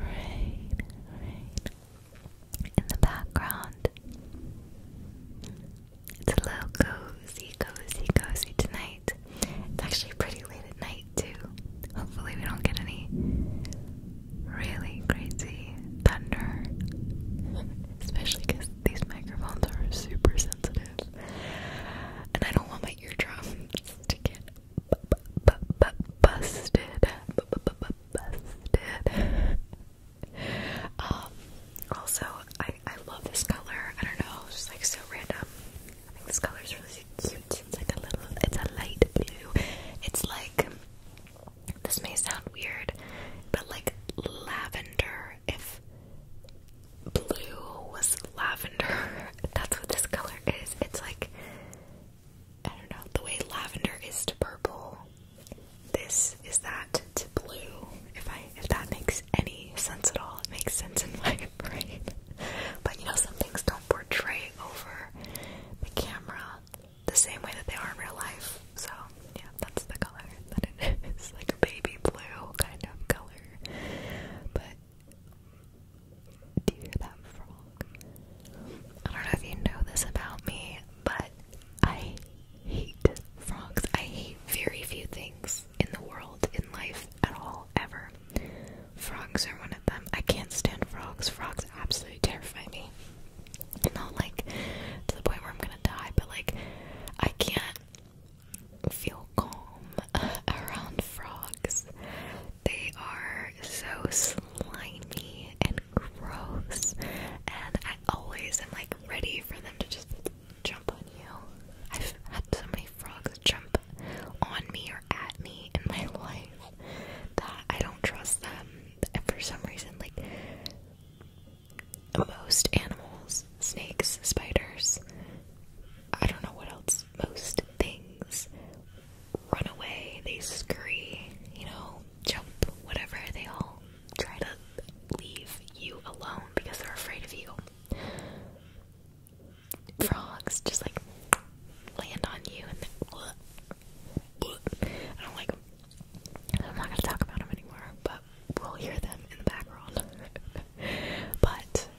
right, right in the background. It's a little cozy, cozy, cozy tonight. It's actually pretty late at night, too. Hopefully, we don't get any really crazy thunder, especially because these microphones are super sensitive. And I don't want my eardrums to get busted. Busted. Um, also, I, I love this color. I don't know, it's just like so random. I think this color is really cute. It's like a little, it's a light blue. It's like, this may sound weird, but like lavender. If blue was lavender, that's what this color is. It's like I don't know, the way lavender is to purple. This is that to blue. If I if that makes any sense at all, it makes sense in my brain. But you know, some things don't portray over the camera the same way that they are in real life. So yeah, that's the color that it is. Like a baby blue kind of color. But do that frog? I don't know if you know this about me, but I hate frogs. I hate very few things in the world, in life, at all, ever. Frogs are one of them. I can't stand frogs. Frogs absolutely terrify me. Not like to the point where I'm gonna die, but like I can't feel calm around frogs. They are so slimy and gross, and I always am like ready for them to just jump on you. I've had so many frogs jump on me or at me in my life that I don't trust them. And for some reason, like most animals, snakes, spiders, I don't know what else. Most things run away, they scurry, you know, jump, whatever. They all try to leave you alone because they're afraid of you. Frogs just like land on you and then I do like I'm not gonna talk about them anymore, but we'll hear them in the background. but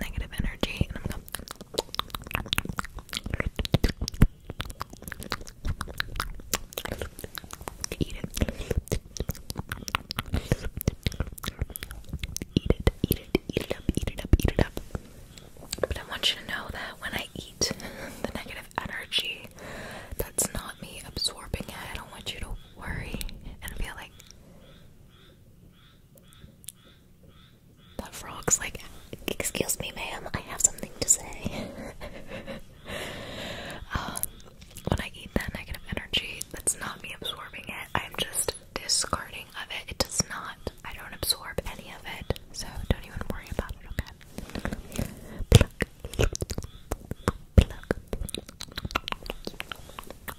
negative energy, eat it. Eat it, eat it, eat it up, eat it up, eat it up. But I want you to know that when I eat the negative energy, that's not me absorbing it. I don't want you to worry and be like, that frog's like, excuse me, ma'am, I have something to say. Um, when I eat that negative energy, that's not me absorbing it, I'm just discarding of it. It does not, I don't absorb any of it, so don't even worry about it, okay?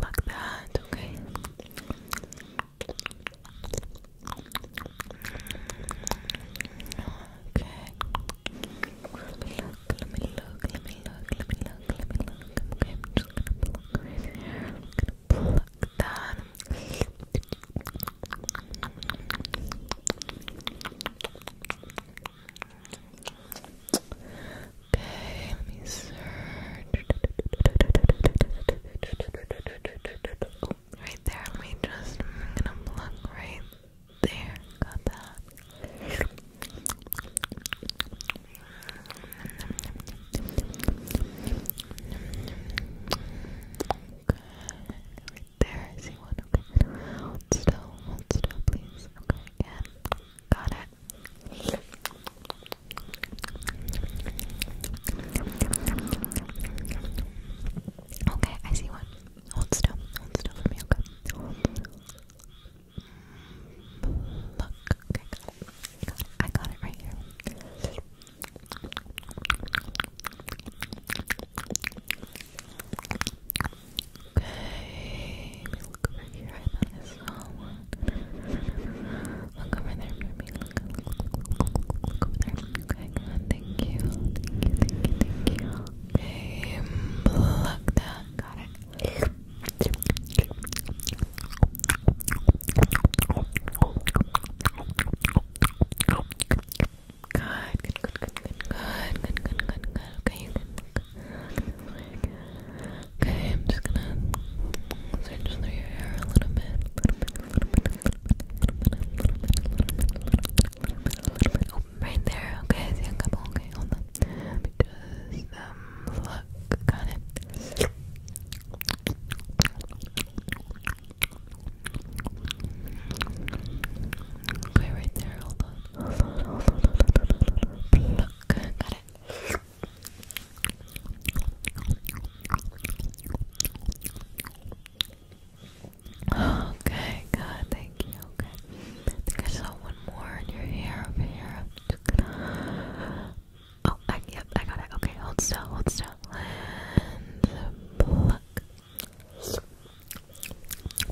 Like that, okay. Okay. Let me look, let me look, let me look, let me look, let me look. Okay, just gonna pluck that. Okay, let me search. right there. Let me just. gonna plug right there. Got that. right there. still, still, please. Okay, got it. Okay, I see one. Hold still. Hold still for me, okay? Look, okay, got it. I got it right here. Okay, look over here. I thought I one. Look over there for me. Look, look, look over there. Okay, good. Thank you. Thank you, thank you, thank you. Okay, pluck that. Got it. Good, good, good, good, good, good, good, good, good, Okay, I'm just gonna search through your hair a little bit, little bit, little bit, little bit, little bit, little bit, little bit. Oh, right there. Okay, see a couple. Okay, hold on. Because um, look, got it. right there. Hold on. Hold on. Hold on. Look, got it. Okay, God, thank you. Okay, think I saw one more in your hair over here. Oh, I, yep, I got it. Okay, hold still, hold still, and pluck.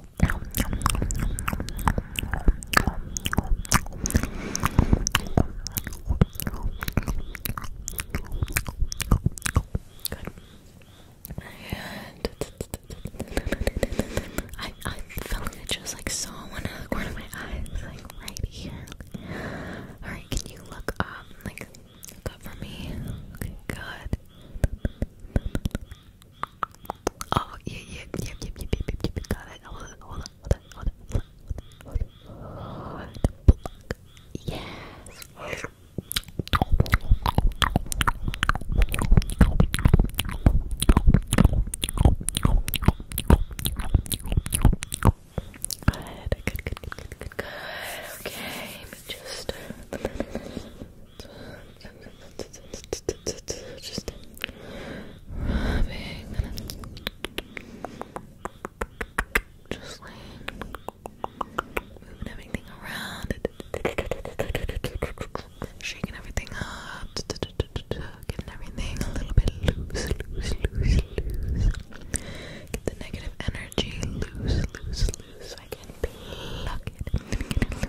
And I I felt like I just like saw one out of the corner of my eyes, like right here. Alright, can you look up? Like look up for me. Okay, good. Oh, yeah, yeah, yeah, yeah, yeah, yeah, yeah, yeah, got it. Hold on, hold on, hold on, hold on, hold on. Yes. Good, good, good, good, good, good, Okay, just. Uh, just rubbing just moving everything around shaking everything up getting everything a little bit loose loose loose loose get the negative energy loose loose loose I can pluck it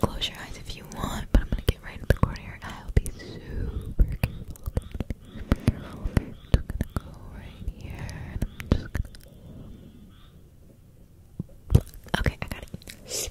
close your eyes if you want, but I'm gonna get right in the corner. I'll be super careful. I'm gonna go right here, Okay, I got it.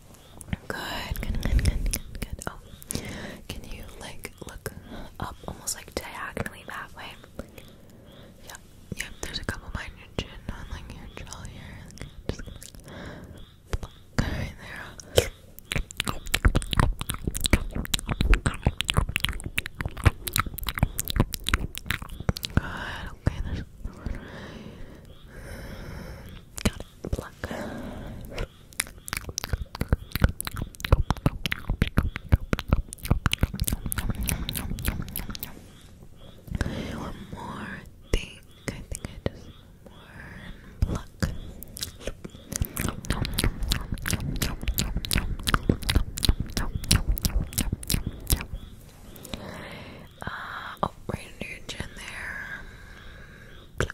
Good, good, good, good, good, Oh, can you like look up almost like diagonally that way? yep, yep. There's a couple behind chin on like your here. just going right there. Good. Okay, there's. Got pluck. One more thing. I think I just more pluck. Uh, oh, right under your chin there. Okay,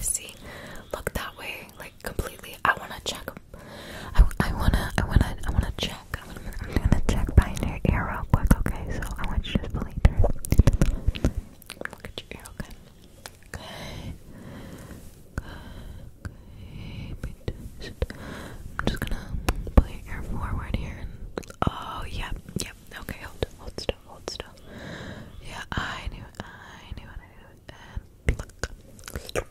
see. Look that way, like completely. I wanna check. I, I wanna, I wanna, I wanna check. I'm gonna, check behind your ear real okay? So I want you to I'm just gonna pull your ear forward here. And, oh, yeah, Yeah, okay, hold, hold still, hold still. Yeah, I knew I knew it, I knew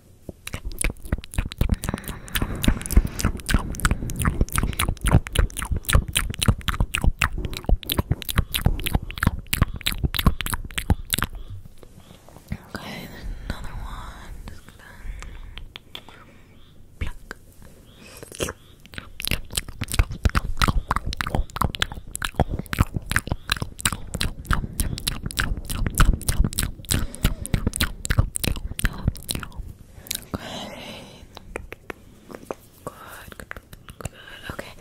Okay, there's another one. Just gonna pluck. Okay. Good, Okay.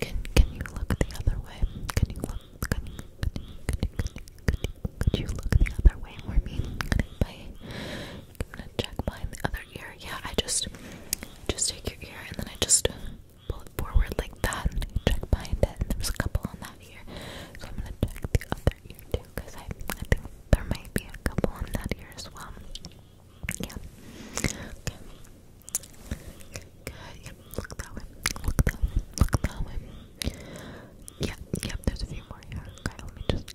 Can can you look the other way? Can you look? Can you, could, you, could, you, could, you, look the other way for me? I? am gonna check behind the other ear. Yeah, I just just take your ear and then I just pull it forward like that check behind it. there's a couple on that ear, so I'm gonna check the other ear too because I I think there might be a couple on that ear as well. Yeah. Okay. Good. Yep. Look that way. Look that Look that way. Yeah. Yep. There's a few more here. Okay. Let me just.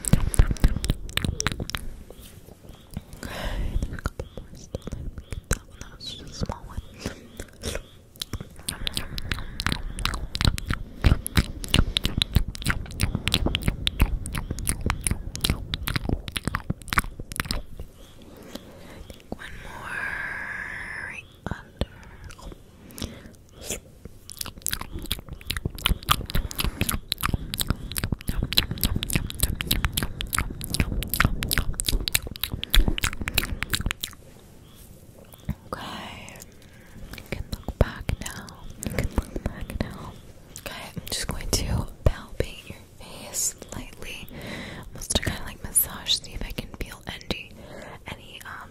there's a couple more still there. That one, that was just a small one. I think one more right under. Oh. Okay, you can look back now. You can look back now. Okay, I'm just going to palpate your face slightly. just to kind of like massage, see if I can feel any any um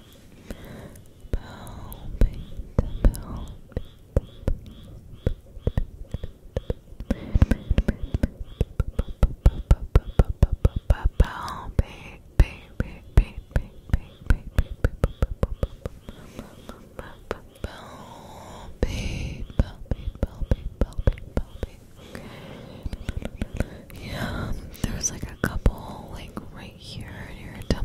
yeah, there's like a couple like right here near your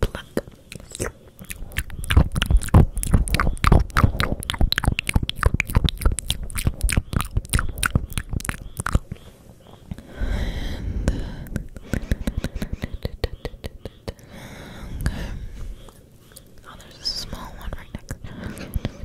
pluck. And, okay. Uh, oh, there's a small one right next.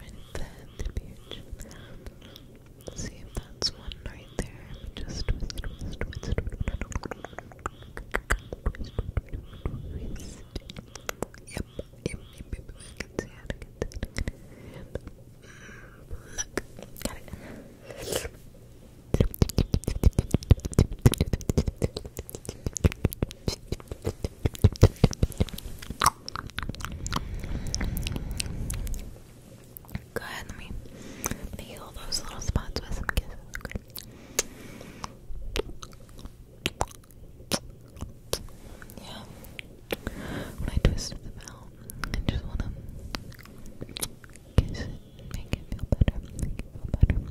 right there the beach. See if that's one right there. Just twist, twist, twist, twist, twist. Yep, yep, yep, yep. I can see it. I can see it. And look, got it. Go ahead, let me heal those little spots with some kisses. Yeah. When I twisted them out, I just wanna kiss it make it feel better. Make it feel better.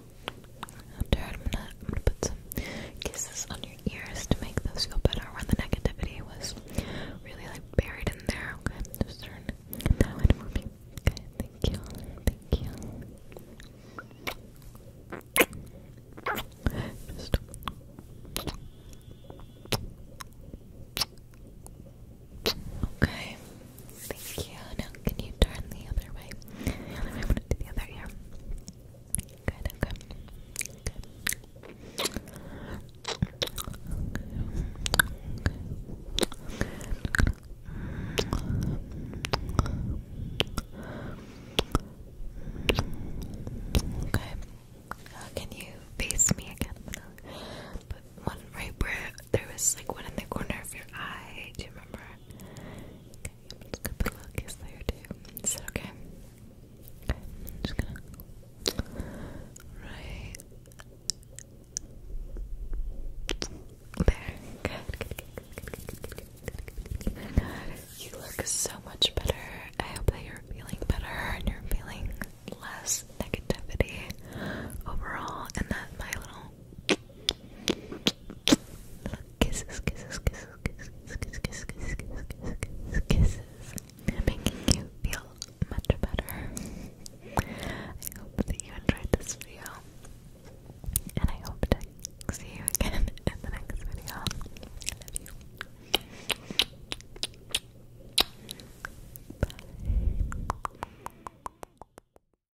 I'm gonna, put some kisses on your ears to make those feel better where the negativity was really like buried in there. Okay, just turn that way for me. Okay, thank you. Thank you. Okay. Thank you can you turn the other way? The other way, I'm the other ear. Good, okay. Okay. Okay. Uh, can you face me again? But one right where there was like one in the corner of your eye. Do you remember? Scoop look is there too. Is that okay? Okay, I'm just gonna right there. You look so much better. I hope that you're feeling better and you're feeling less negativity overall, and that my little Kisses, kisses, kisses, kisses, kisses, kisses, kisses, kisses, kisses, kisses. Making you feel much better. I hope that you enjoyed this video. And I hope to see you again in the next video. love you.